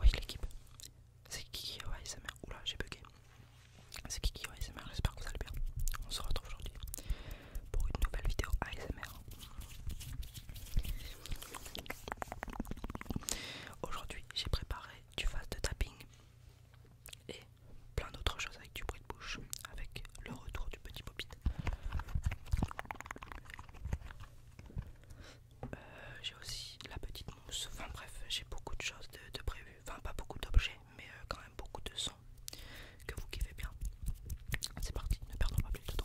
Oui l'équipe, c'est Kiki ASMR. Oula, j'ai bugué. C'est Kiki ASMR, j'espère que vous allez bien. On se retrouve aujourd'hui pour une nouvelle vidéo ASMR. Aujourd'hui, j'ai préparé du face de tapping et plein d'autres choses avec du bruit de bouche, avec le retour du petit popit. Euh, j'ai aussi la petite mousse, enfin bref, j'ai beaucoup de choses de, prévu prévues, enfin pas beaucoup d'objets, mais euh, quand même beaucoup de sons que vous kiffez bien. C'est parti, ne perdons pas plus de temps.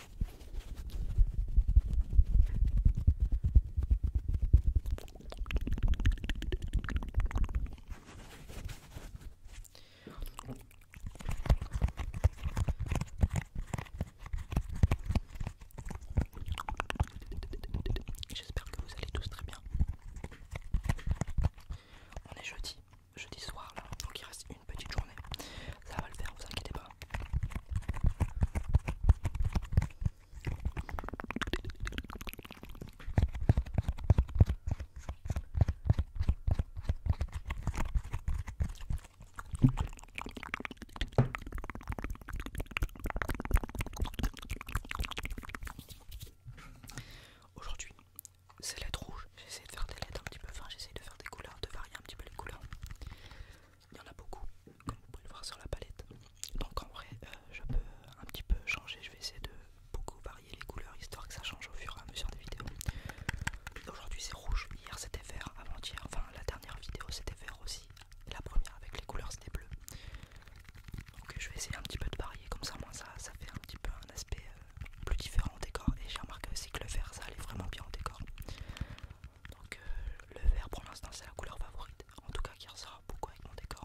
J'espère que vous allez tous très bien. On est jeudi, jeudi soir là, donc il reste une petite journée ça va le faire, vous inquiétez pas. Aujourd'hui, c'est lettres rouges. J'essaie de faire des lettres un petit peu, enfin j'essaie de faire des couleurs, de varier un petit peu les couleurs il y en a beaucoup, comme vous pouvez le voir sur la palette. Donc en vrai, euh, je peux un petit peu changer, je vais essayer de beaucoup varier les couleurs, histoire que ça change au fur et à mesure des vidéos. Aujourd'hui c'est rouge, hier c'était vert, avant-hier, enfin la dernière vidéo c'était vert aussi, la première avec les couleurs c'était bleu. Donc je vais essayer un petit peu de varier, comme ça moi ça, ça fait un petit peu un aspect euh, plus différent décor et j'ai remarqué aussi que le vert ça allait vraiment bien en décor donc euh, le vert pour l'instant c'est la couleur favorite en tout cas qui ressort beaucoup avec mon décor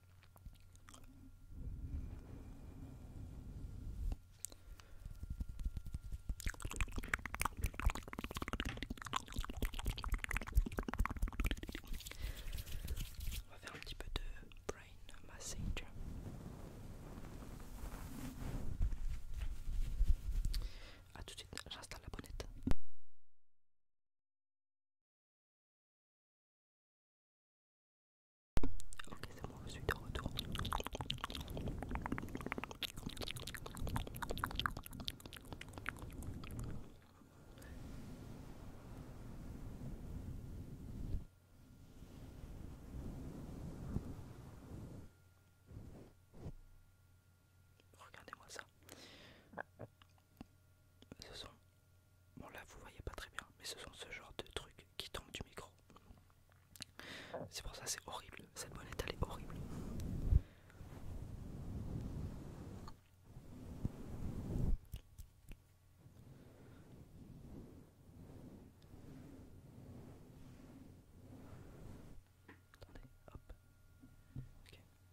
On va faire un petit peu de brain massage. A tout de suite, j'installe la bonnette. Ok, c'est bon, je suis de retour. Regardez-moi ça ce sont bon là vous voyez pas très bien mais ce sont ce genre de trucs qui tombent du micro c'est pour ça c'est horrible cette bonnette elle est horrible Attendez, hop. ok.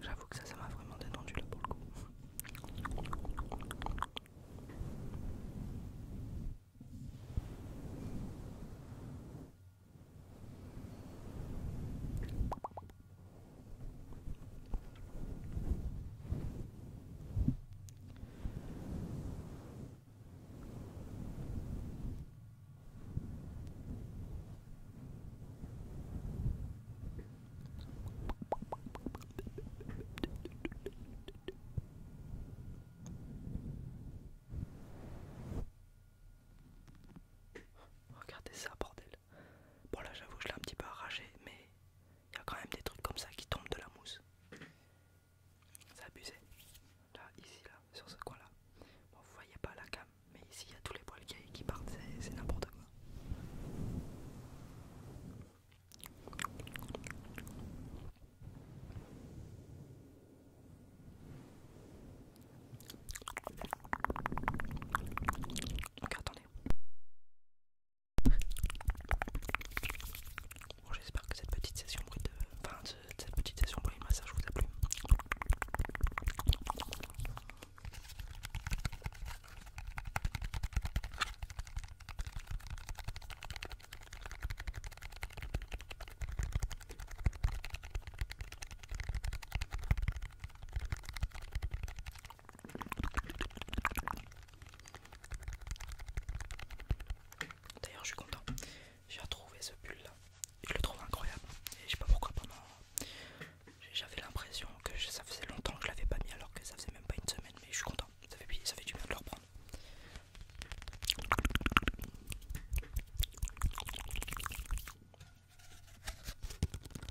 J'avoue que ça, ça m'a vraiment détendu là pour le coup. Regardez ça, bordel. Bon, là, j'avoue, je l'ai un petit peu arraché, mais il y a quand même des trucs comme ça qui tombent de la mousse. C'est abusé. Là, ici, là, sur ce coin-là. Bon, vous voyez pas la cam, mais ici, il y a tous les poils qui, partent, c'est n'importe quoi. Donc attendez. Bon, j'espère que cette petite session bruit de, enfin, de, cette petite session bruit de massage vous a plu. D'ailleurs, je suis content. J'ai retrouvé ce pull là. Je le trouve incroyable. Et je sais pas pourquoi pendant. J'avais l'impression que ça faisait longtemps que je l'avais pas mis alors que ça faisait même pas une semaine. Mais je suis content. Ça fait, ça fait du bien de le reprendre.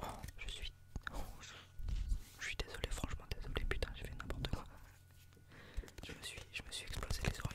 Oh, je suis. Oh, je... suis désolé, franchement désolé, putain, j'ai fait n'importe quoi. Je me suis, je me suis explosé les oreilles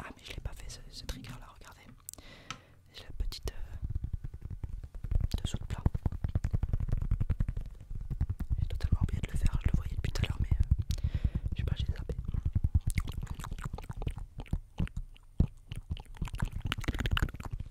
Ah mais je l'ai pas fait ce, trigger là, regardez. J'ai la petite euh, De dessous le plat. J'ai totalement oublié de le faire, je le voyais depuis tout à l'heure mais euh, je sais pas, j'ai zappé.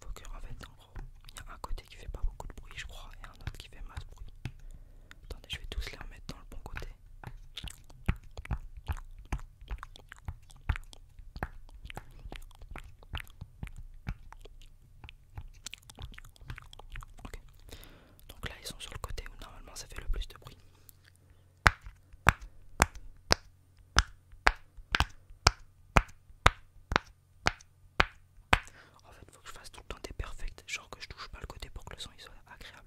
Faut en fait en gros, il y a un côté qui fait pas beaucoup de bruit je crois et un autre qui fait masse bruit. Attendez je vais tous les remettre dans le bon côté. Donc là ils sont sur le côté où normalement ça fait le plus de bruit. En fait, faut que je fasse tout le temps des perfects, genre que je touche pas le côté pour que le son soit agréable.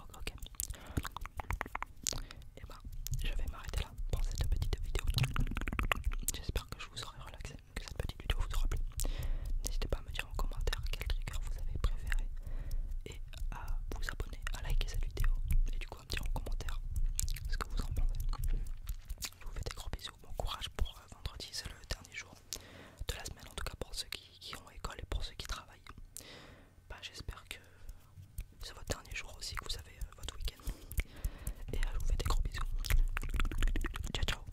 Ok, ok. Et eh ben, je vais m'arrêter là pour cette petite vidéo. J'espère que je vous aurai relaxé, que cette petite vidéo vous aura plu. N'hésitez pas à me dire en commentaire quel trigger vous avez préféré et à vous abonner, à liker cette vidéo et du coup à me dire en commentaire ce que vous en pensez. Je vous fais des gros bisous, bon courage pour euh, vendredi c'est le dernier jour de la semaine en tout cas pour ceux qui, ont école et pour ceux qui travaillent. Bah, j'espère que c'est votre dernier jour aussi, que vous avez euh, votre week-end. Et euh, je vous fais des gros bisous. Ciao ciao